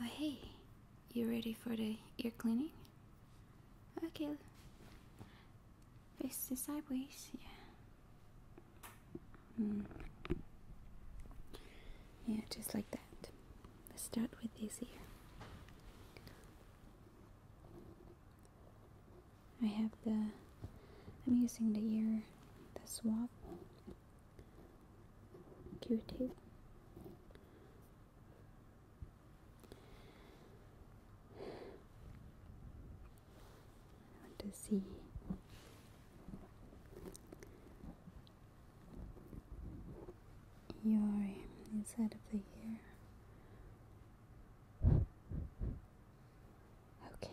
Oh, hey, you ready for the ear cleaning? Okay, face to sideways, yeah. Hmm. Yeah, just like that. Let's start with this ear. I have the, I'm using the ear, the swab Cutie. want to see your inside of the ear. Okay.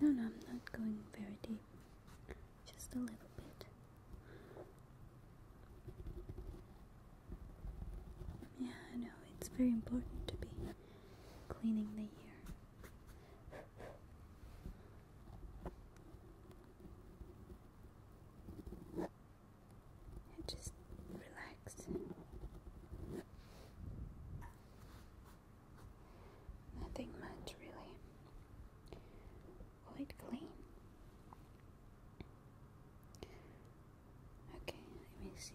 No, no, I'm not going very deep, just a little bit. Yeah, I know it's very important to be cleaning the ear just relax. Nothing much, really. Quite clean. Okay, let me see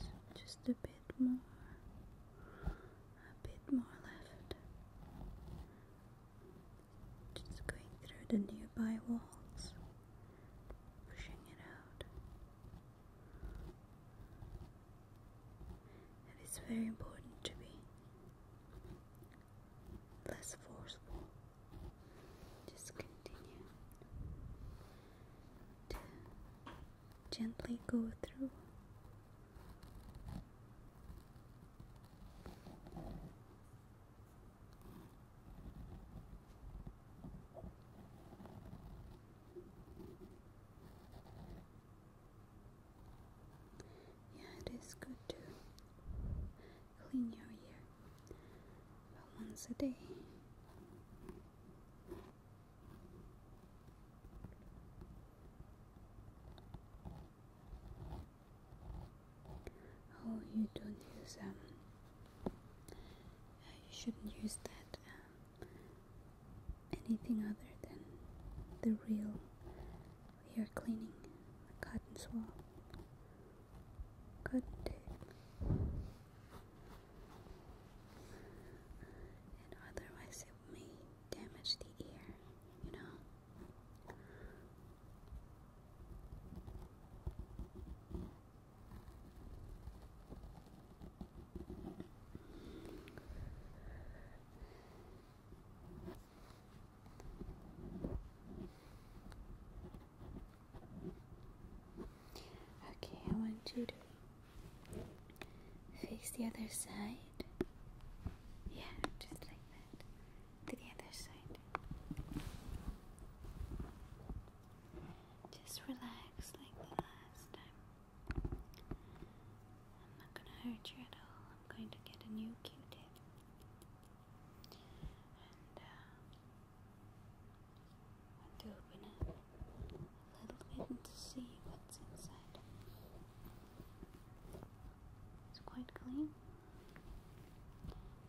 Yeah, just a bit more, a bit more left. Just going through the nearby walls, pushing it out. It is very important to be less forceful. Just continue to gently go through. Yeah, it is good to clean your ear but once a day. Oh, you don't use um. Uh, you shouldn't use that uh, anything other than the real. We are cleaning the cotton swab. Cotton tape. And otherwise, it may damage the ear, you know. Okay, I want you to face the other side. Yeah, just like that. To the other side. Just relax like the last time. I'm not gonna hurt you at all. I'm going to get a new Q-tip. And uh, I want to open it a little bit to see what's inside. It's quite clean.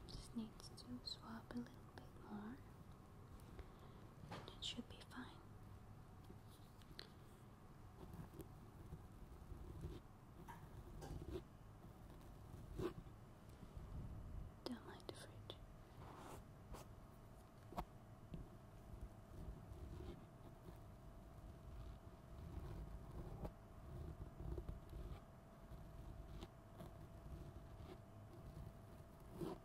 Just needs to swab a little bit more, and it should be fine. Don't mind the fridge.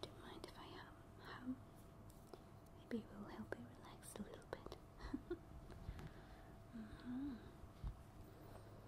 Don't mind if I um Maybe it will help you relax a little bit. Mm-hmm.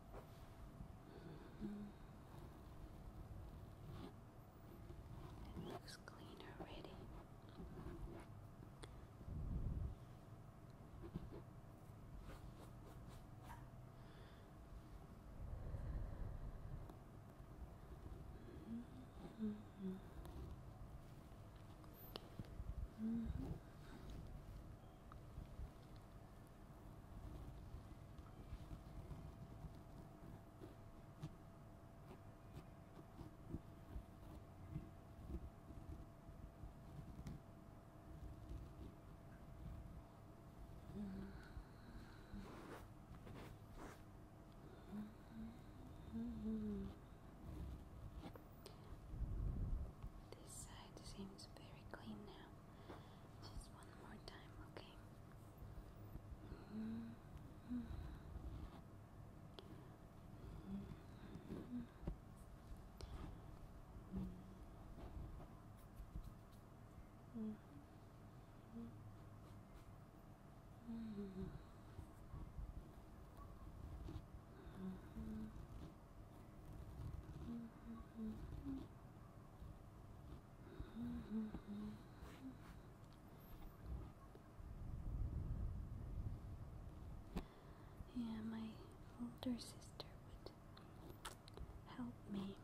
It looks clean already. Mm -hmm. -hmm. This side seems very clean now. Just one more time, okay? Mm -hmm. Mm -hmm. Mm -hmm. -hmm. -hmm. Yeah, my older sister would help me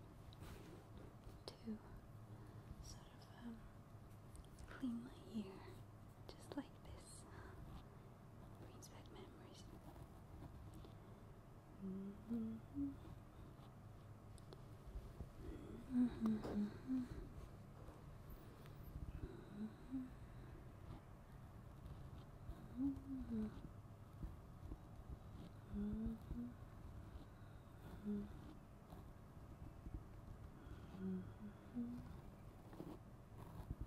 to sort of um, clean my ear just like this brings back memories. Mm-hmm.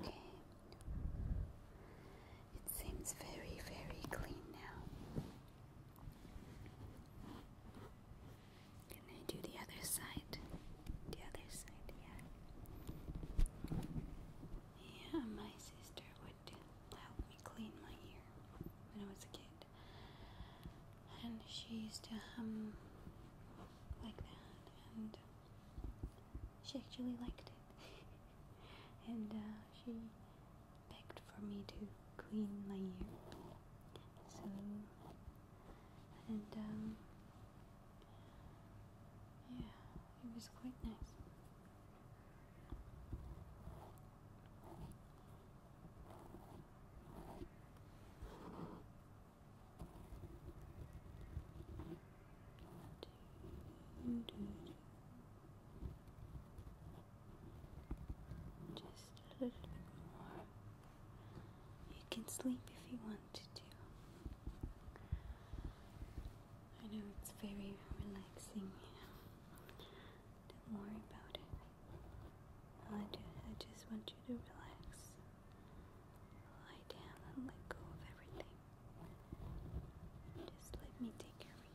Okay. It seems very, very clean now. Can I do the other side? The other side, yeah. Yeah, my sister would help me clean my ear when I was a kid. And she used to hum like that she actually liked it, and uh, she begged for me to clean my ear. So, and um, yeah, it was quite nice. Just a little bit more. You can sleep if you want to. I know it's very relaxing. Don't worry about it. I, do, I just want you to relax. Lie down and let go of everything. Just let me take care of you.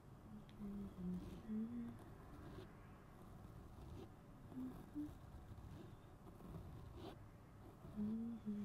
I think your hair is getting in the way.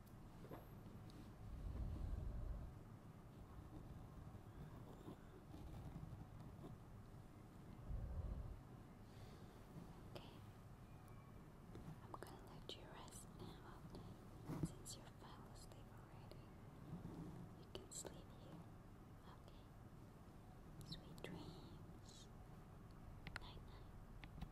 I'm gonna let you rest now, since you fell asleep already. You can sleep here, okay? Sweet dreams. Night night.